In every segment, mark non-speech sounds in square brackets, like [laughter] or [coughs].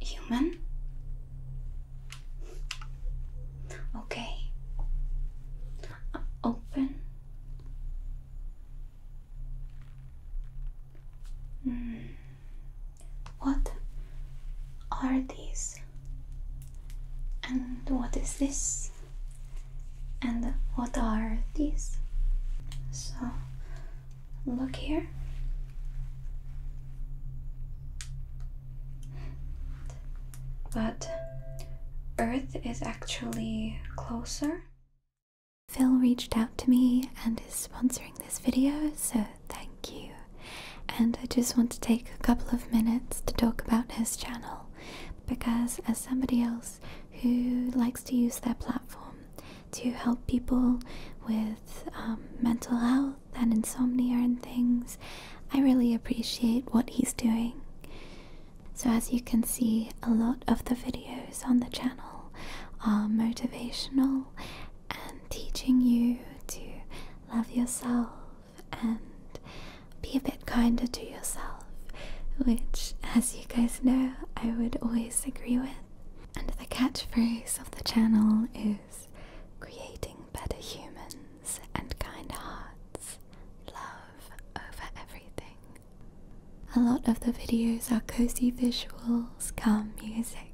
Human? Okay. Uh, open. Hmm. What are these? And what is this? And what are these? So, look here. But Earth is actually closer. Phil reached out to me and is sponsoring this video, so thank you. And I just want to take a couple of minutes to talk about his channel because, as somebody else who likes to use their platform to help people with um, mental health and insomnia and things, I really appreciate what he's doing. So, as you can see, a lot of the videos on the channel motivational and teaching you to love yourself and be a bit kinder to yourself, which, as you guys know, I would always agree with. And the catchphrase of the channel is creating better humans and kind hearts, love over everything. A lot of the videos are cozy visuals, calm music,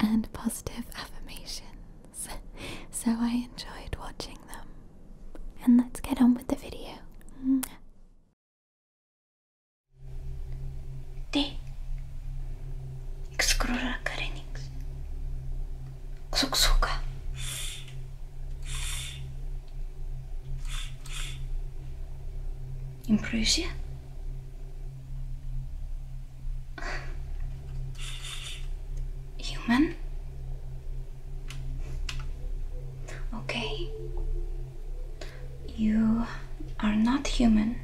and positive affirmations, so I enjoyed watching them. And let's get on with the video. Te excrura carenix. Xuksuka. In Human? Okay. You are not human.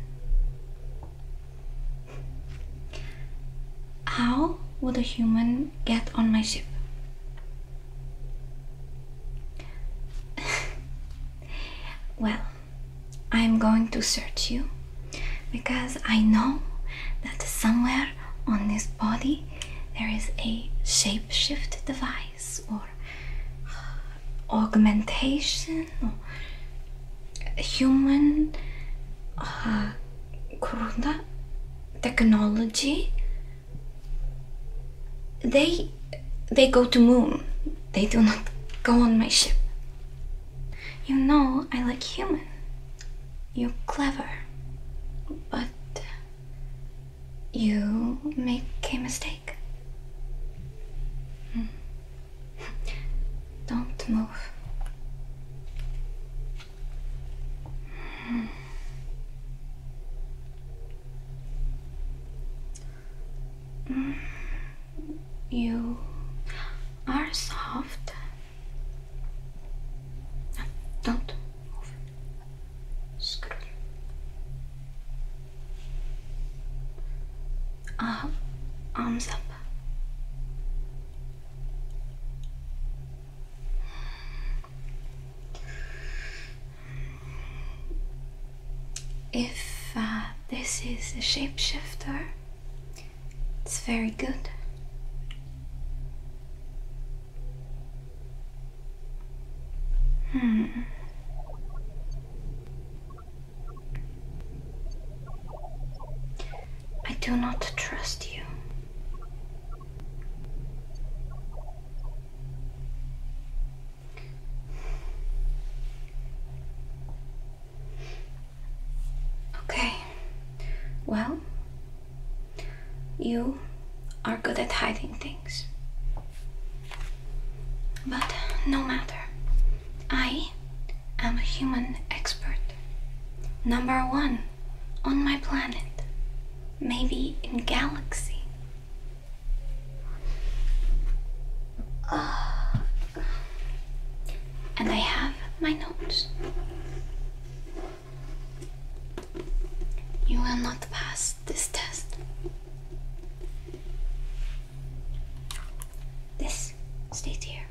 How would a human get on my ship? [laughs] Well, I'm going to search you because I know that somewhere on this body there is a shapeshift device or augmentation or human uh, technology they they go to moon. They do not go on my ship. You know I like human. You're clever. But you make a mistake. Hmm. Don't move. Hmm. Mm, you are soft. don't move. Screw Up, uh, arms up. If uh, this is a shapeshifter, it's very good. Hmm. I do not trust you. Okay, well, you are good at hiding things. But no matter, I am a human expert. Number one on my planet, maybe in galaxy. And I have my notes. You will not pass this test. This stays here.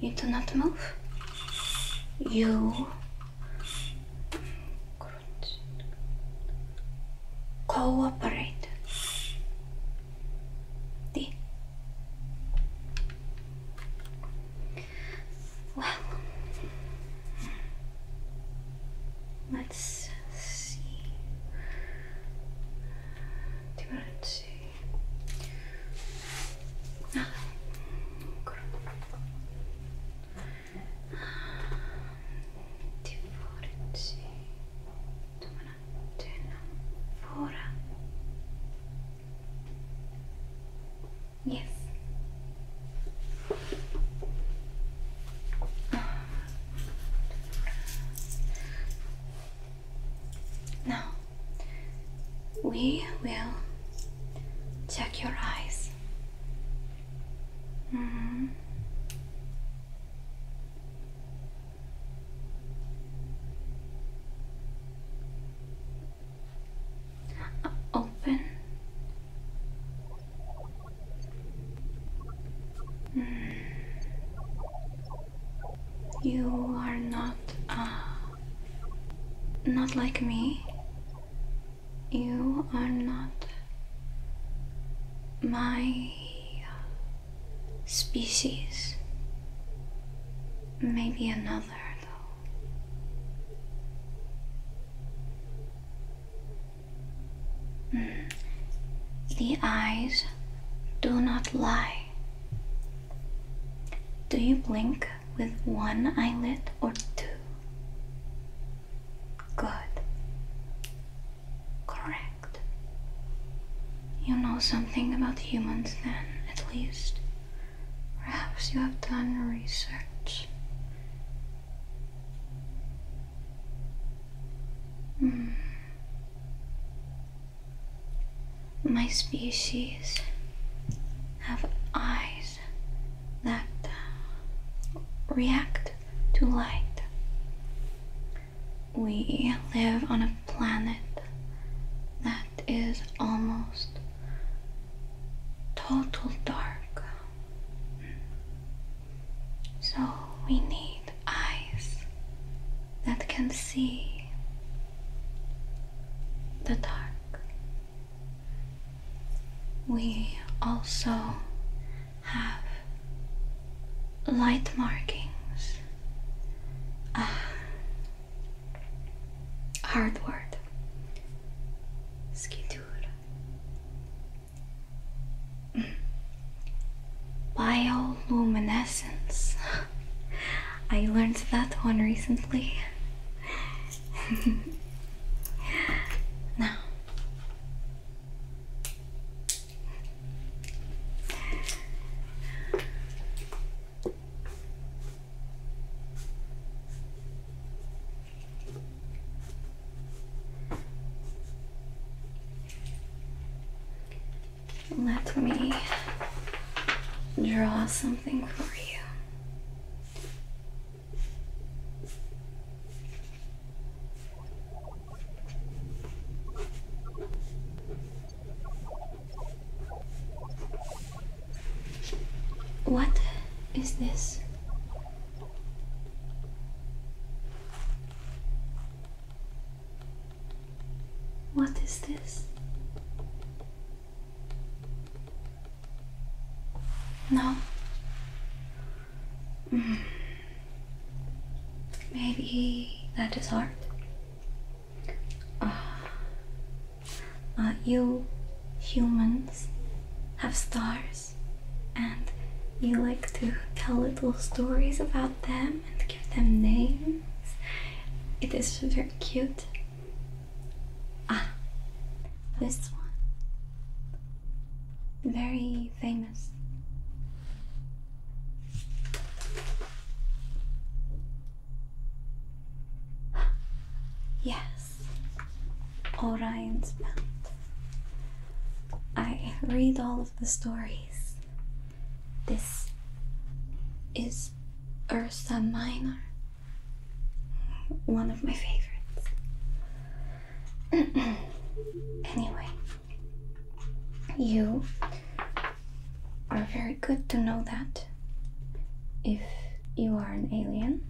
You do not move. You Cooperate. D. Well, let's see. Let's see. Ah. Divorci Dumanatena Fora. Yes. Now we will check your eyes. Mm-hmm. open. Mm. You are not, uh, not like me. You are not my species. Maybe another, though. Hmm. The eyes do not lie. Do you blink with one eyelid or two? Good. Correct. You know something about humans then, at least. Perhaps you have done research. Hmm. My species have eyes that uh, react to light. We live on a planet that is almost total dark. So we need eyes that can see the dark. We also have [sighs] light markings. Ah, hard word. Schitura. Hmm. Bioluminescence. [laughs] I learned that one recently. [laughs] now, let me draw something for you. What is this? What is this? No, [sighs] Maybe that is hard. [sighs] you humans have stars, and you like to tell little stories about them and give them names. It is very cute. Ah, this one. Very famous. [gasps] Yes, Orion's Belt. I read all of the stories. This is Ursa Minor, one of my favorites. [coughs] anyway, you are very good to know that if you are an alien.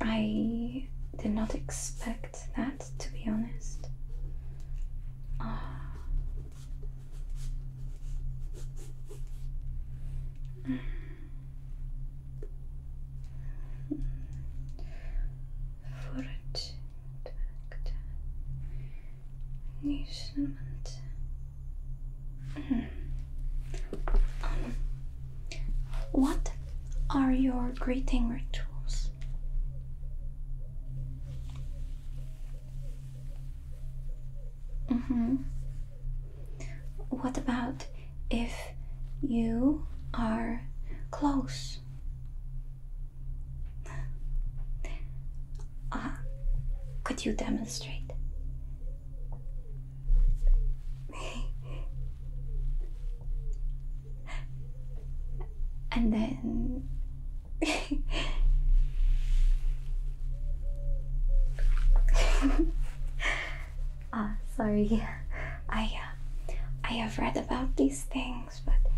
I did not expect that, to be honest. Uh, Forage tvätt. Nysnömant. Hmm. Um, what are your greeting rituals? Mm-hmm. What about if you are close? Uh, could you demonstrate? [laughs] and then. [laughs] Ah, sorry. [laughs] I uh, I have read about these things, but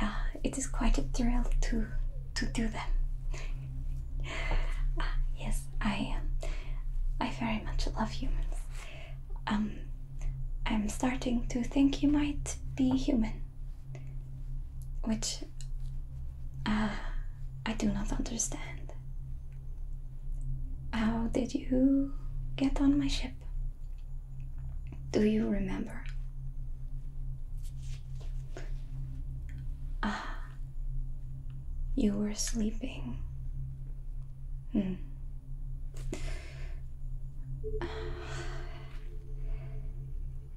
uh, it is quite a thrill to to do them. Uh, yes, I um, I very much love humans. Um, I'm starting to think you might be human, which uh, I do not understand. How did you get on my ship? Do you remember? Ah, you were sleeping. Hmm. [sighs]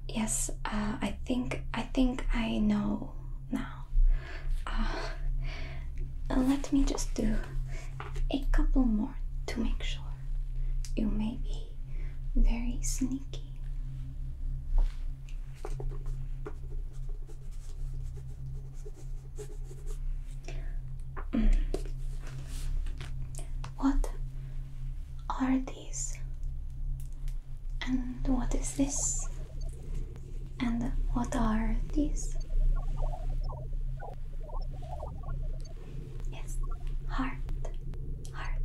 yes, uh, I think I think I know now. Uh, uh, let me just do a couple more to make sure. You may be very sneaky. Mm. What are these? And what is this? And what are these? Yes, heart, heart.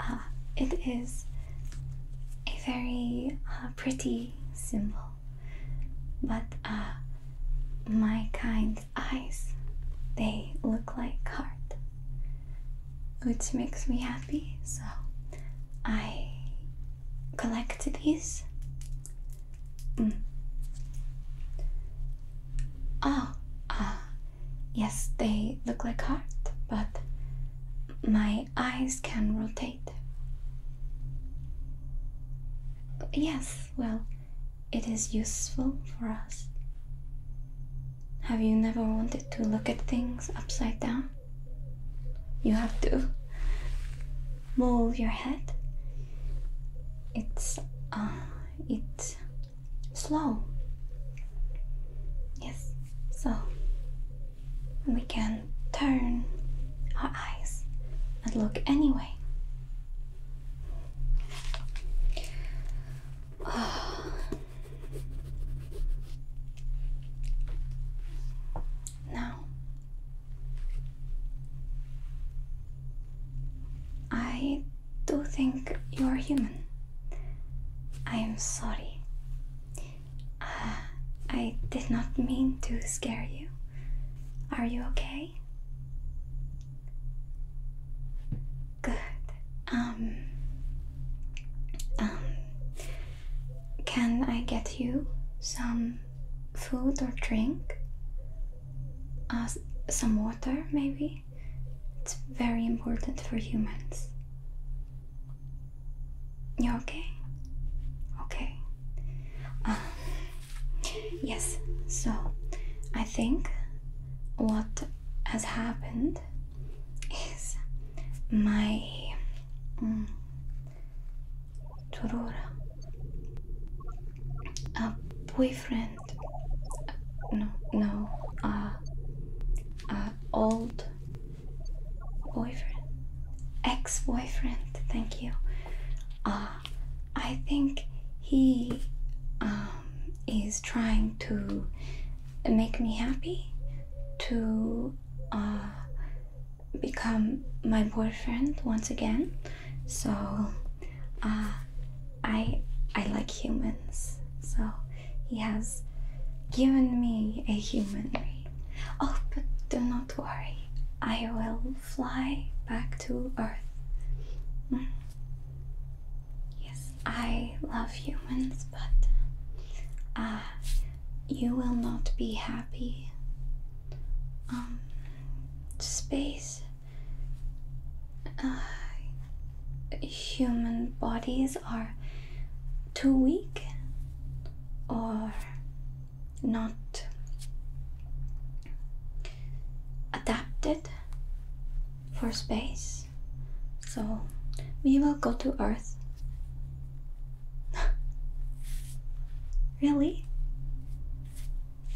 uh, [laughs] it is a very ah, pretty symbol, but uh, my kind eyes, they look like heart which makes me happy. So I collect these. Mm. Oh, uh, yes, they look like heart, but my eyes can rotate. Yes, well, it is useful for us. Have you never wanted to look at things upside down? You have to move your head. It's uh, it's slow. Yes. So we can turn our eyes and look anyway. [sighs] Oh. Now, I do think you are human. I am sorry. Uh, I did not mean to scare you. Are you okay? Good. Um. Um. Can I get you some food or drink? Uh, some water, maybe? It's very important for humans. You okay? Okay. Um, yes, so I think what has happened is my mm, a boyfriend. no, no, uh, uh, old boyfriend, ex-boyfriend. Thank you. Uh, I think he um, is trying to make me happy, to uh, become my boyfriend once again. So uh, I I like humans. So he has given me a human ring. Oh, but do not worry. I will fly back to Earth. Mm. Yes, I love humans but uh, you will not be happy. Um, space, uh, human bodies are too weak or not adapted for space. So we will go to Earth. [laughs] really?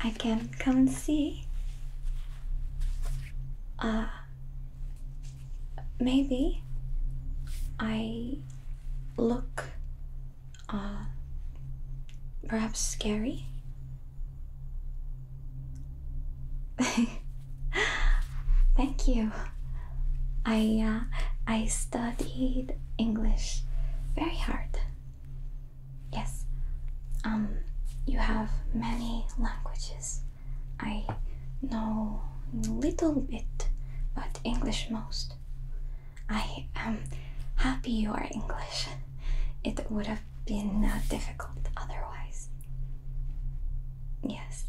I can come and see. Uh, maybe I look uh, perhaps scary. [laughs] [laughs] Thank you. I uh, I studied English very hard. Yes. Um you have many languages. I know little bit, but English most. I am happy you are English. [laughs] It would have been uh, difficult otherwise. Yes.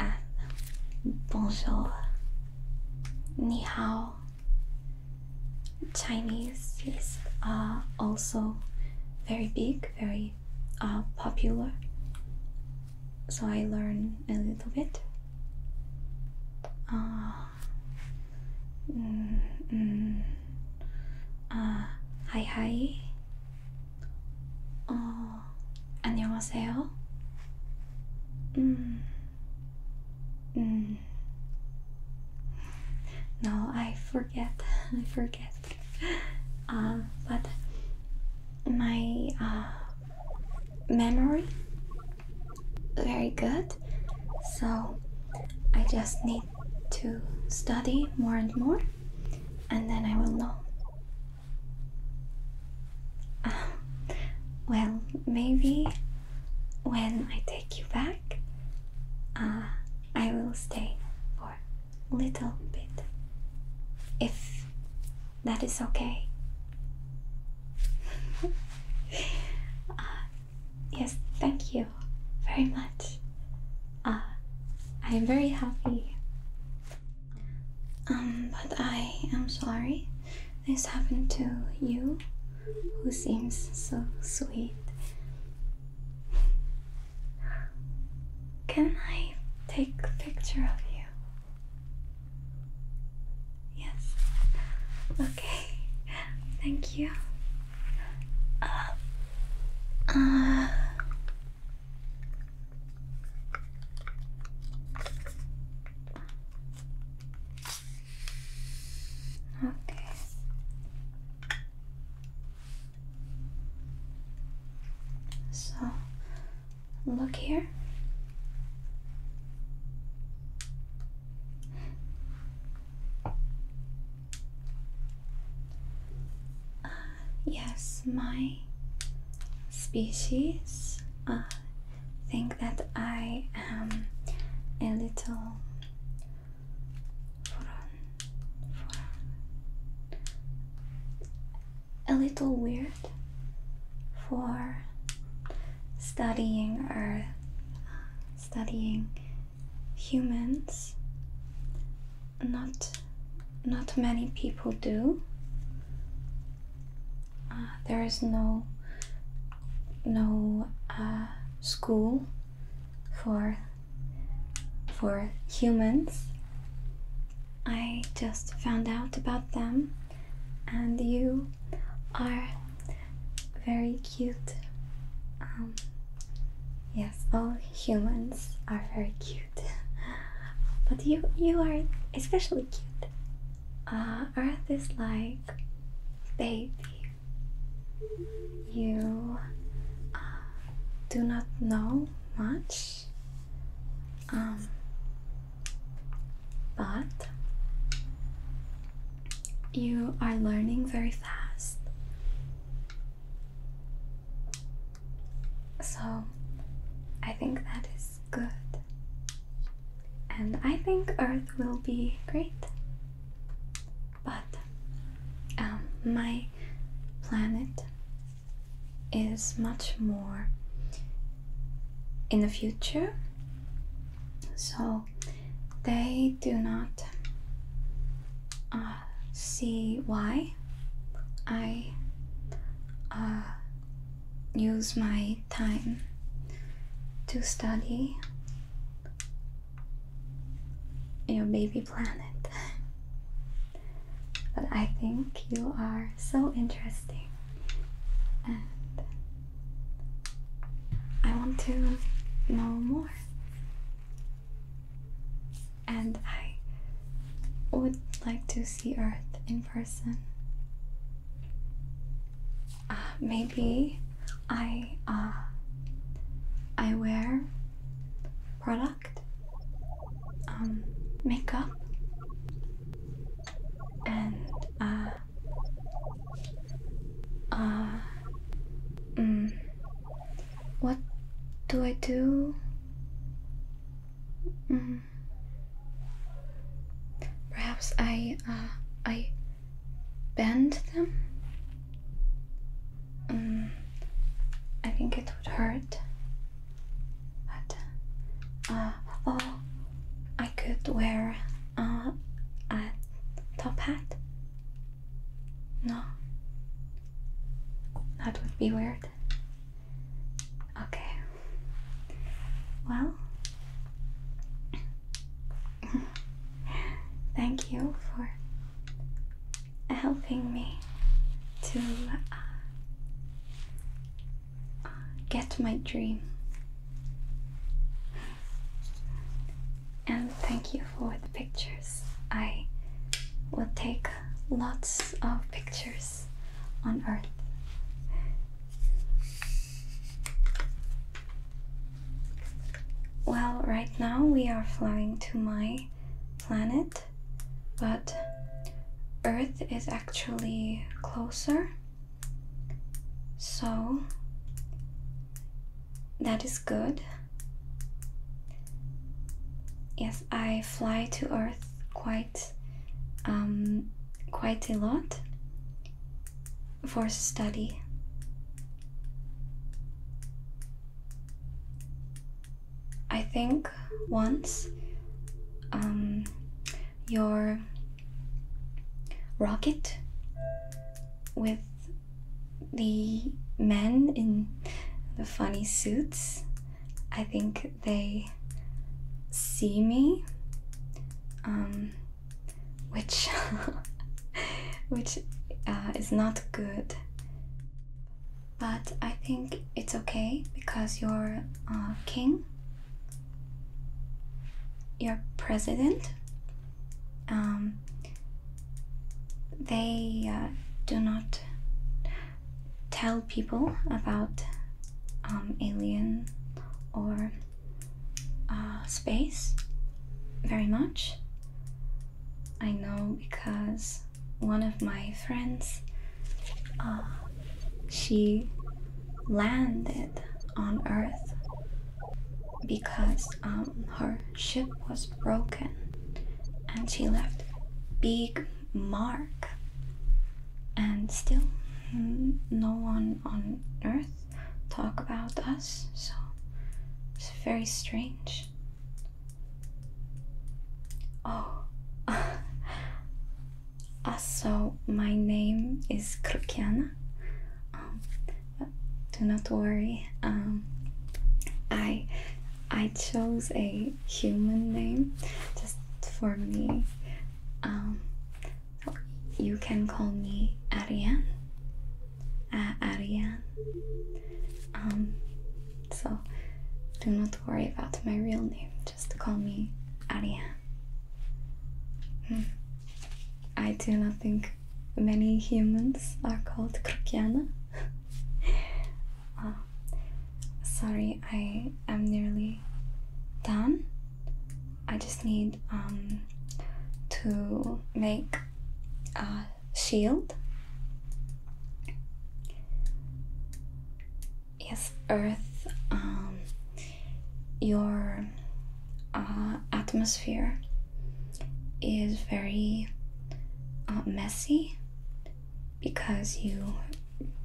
Ah, bonjour. Ni hao. Chinese is uh, also very big, very uh, popular. So I learn a little bit. Uh, mm, mm, uh, hi hi. Oh, 안녕하세요. Mm. Mm. No, I forget. [laughs] I forget. Uh, but my uh, memory very good. So I just need to study more and more, and then I will know. [sighs] well, maybe when I take you back, uh, I will stay for a little bit. If that is okay. [laughs] Uh, yes, thank you very much. Uh, I am very happy um, but I am sorry this happened to you, who seems so sweet. Can I take a picture of you? Yes. Okay. Thank you. Uh, uh, Okay. So look here. Uh, yes, my species uh, think that I am a little a little weird for studying or uh, studying humans not not many people do. Uh, there is no no uh, school for for humans. I just found out about them, and you are very cute. Um, yes, all humans are very cute. But you you are especially cute. Uh, Earth is like baby. You uh, do not know much. Um, but you are learning very fast. So I think that is good. And I think Earth will be great. But um, my planet is much more in the future. So they do not. Uh, see why I uh, use my time to study your baby planet. but I think you are so interesting and I want to know more and I would like to see Earth in person. Uh, maybe I uh, I wear product, um, makeup, and uh, uh, mm, what do I do? Mm-hmm. Perhaps I uh, I bend them. Mm, I think it would hurt. But uh, oh, I could wear uh, a top hat. No, that would be weird. Okay. Well, [laughs] thank you for helping me to uh, get my dream. And thank you for the pictures. I will take lots of pictures on Earth. Well, right now we are flying to my planet, but Earth is actually closer, so that is good. Yes, I fly to Earth quite, um, quite a lot for study. I think once um, your rocket with the men in the funny suits I think they see me, um, which [laughs] which uh, is not good. But I think it's okay because you're uh, king, you're president. Um, they uh, do not tell people about um, alien or uh, space very much. I know because one of my friends, uh, she landed on Earth because um, her ship was broken and she left big mark and still no one on earth talk about us so it's very strange oh [laughs] also my name is Krutiana. Um, do not worry um, I I chose a human name just for me. Um, you can call me Ariane. Uh, Ariane. Um, so do not worry about my real name. Just call me Ariane. Hmm. I do not think many humans are called Krokiana. [laughs] Uh, Sorry, I am nearly done. I just need um, to make a shield. Yes, Earth, um, your uh, atmosphere is very uh, messy because you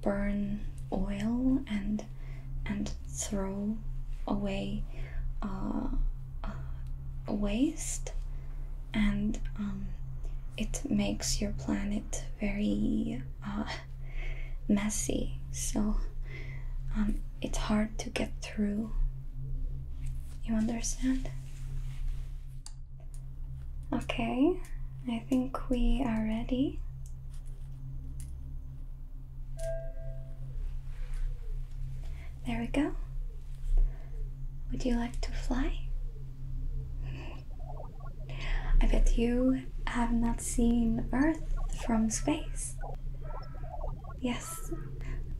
burn oil and and throw away uh, uh, waste and um, it makes your planet very uh, messy so um, it's hard to get through you understand Okay, I think we are ready. There we go. Would you like to fly? I bet you have not seen Earth from space. Yes,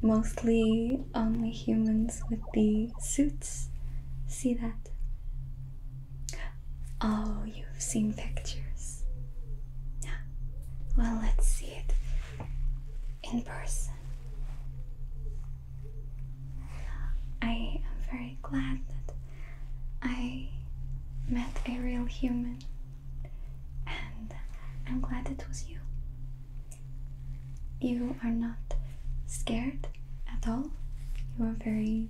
mostly only humans with the suits see that. Oh, you've seen pictures. Well, let's see it in person. I am very glad that I met a real human, and I'm glad it was you. You are not scared at all. You are very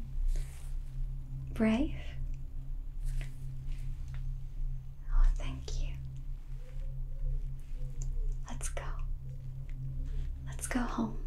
brave. Oh, thank you. Let's go. Let's go home.